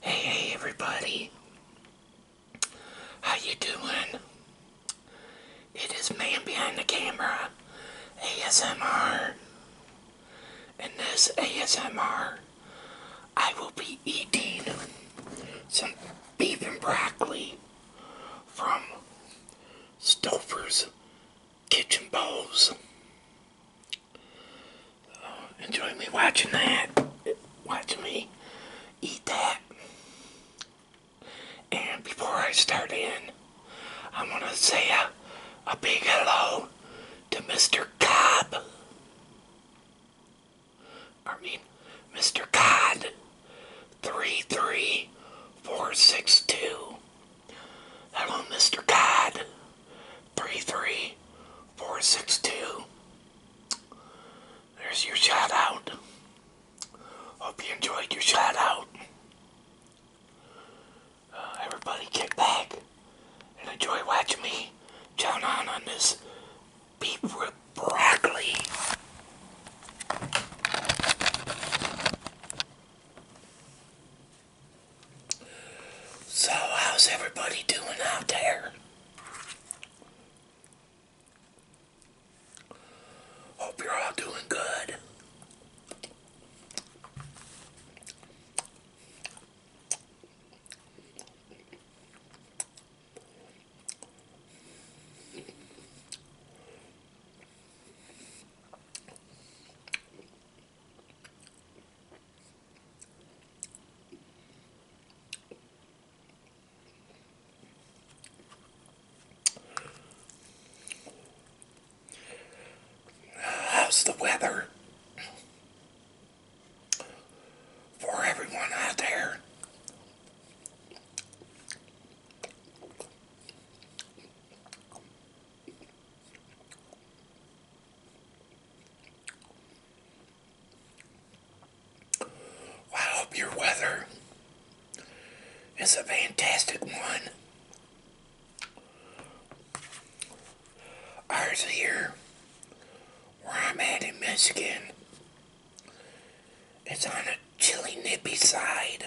Hey, everybody. How you doing? It is Man Behind the Camera ASMR. and this ASMR, I will be eating some beef and broccoli from Stouffer's Kitchen Bowls enjoy me watching that, watch me eat that. And before I start in, I want to say a, a big hello to Mr. Cobb. I mean, Mr. Cobb. 33462. Hello, Mr. Cobb. 33462. There's your shout out. Hope you enjoyed your shout out. Uh, everybody kick back and enjoy watching me chow down on on this beef with broccoli. So, how's everybody doing out there? Hope you're all doing good. How's the weather for everyone out there? Well, I hope your weather is a fantastic one. Ours here, where I'm at in Michigan, it's on a chilly, nippy side.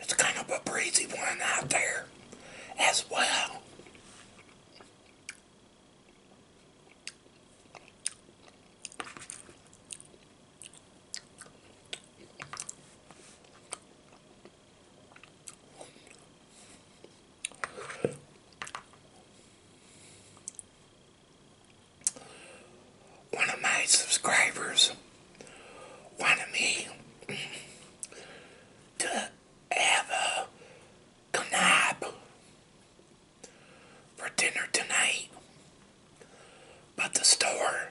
It's kind of a breezy one out there as well one of my subscribers wanted me to have a knab for dinner tonight, but the store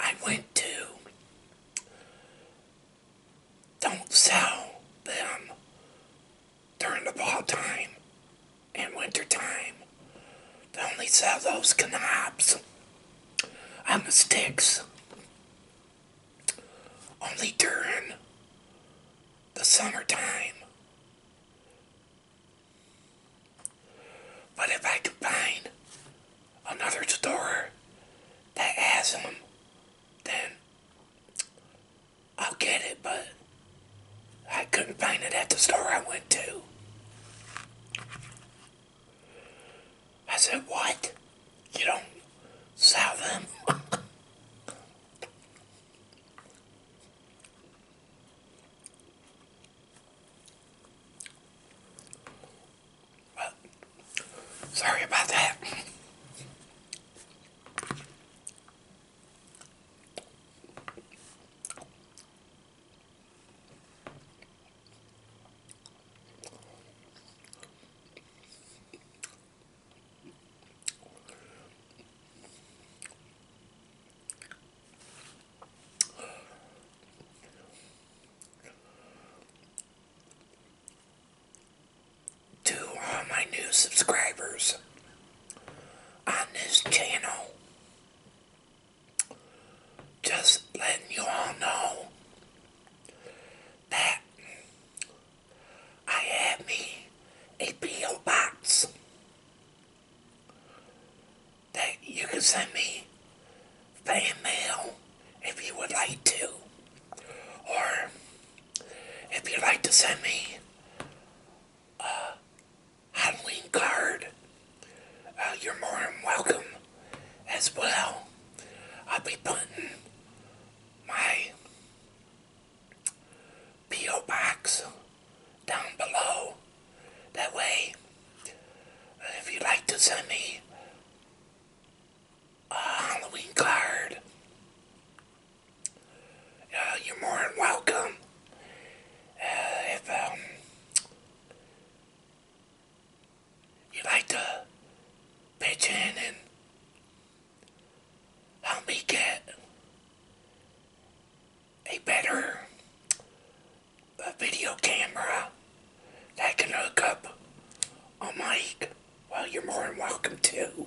I went to don't sell them during the fall time and winter time. They only sell those knobs on the sticks only during the summertime. But if I could find another store that has them, then I'll get it, but I couldn't find it at the store I went to. I said, What? You don't sell them? well, sorry about that. To all my new subscribers, on this channel. Just letting you all know that I have me a P.O. box that you can send me fan mail if you would like to. Or if you'd like to send me uh, Halloween card. Uh, you're more than welcome as well. I'll be putting my P.O. box down below. That way, if you'd like to send me a Halloween card, uh, you're more than welcome. Uh, if um, you'd like to pitch in and help me get a better uh, video camera that can hook up a mic, well, you're more than welcome to.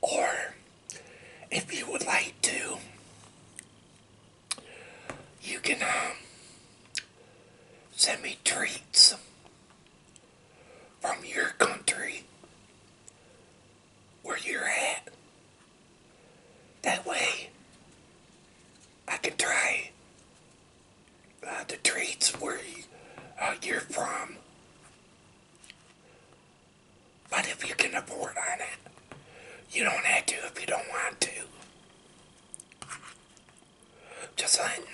Or if you would like to, you can um, send me treats from your country where you're at. That way, I can try uh, the treats where uh, you're from but if you can afford on it, you don't have to if you don't want to. Just letting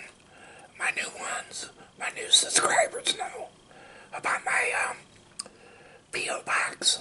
my new ones, my new subscribers know about my um, P.O. Box.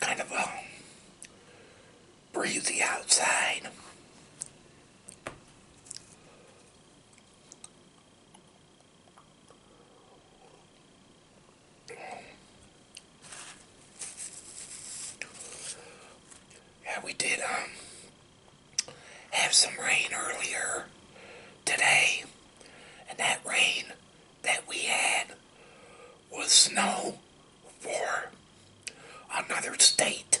Kind of a breezy outside. Yeah, we did um, have some rain earlier today, and that rain that we had was snow for another state.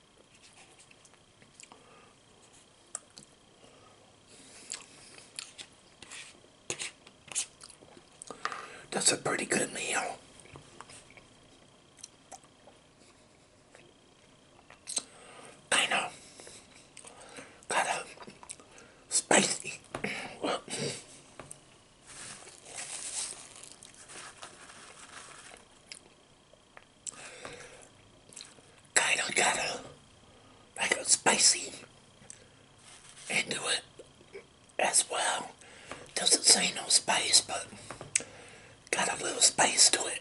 That's a pretty good meal. I know. Got a spicy. Kind of got a like a spicy into it as well. Doesn't say no spice, but got a little spice to it.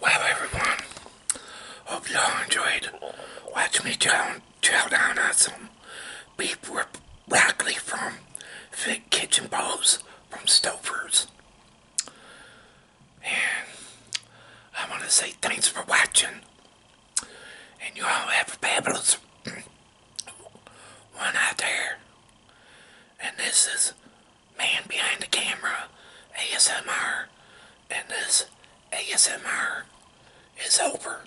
Well, everyone, hope you all enjoyed Watch me chow, chow down on uh, some beef rib Broccoli from Fit Kitchen Bowls from Stouffer's. And I want to say thanks for watching. And you all have a fabulous one out there. And this is Man Behind the Camera ASMR. And this ASMR is over.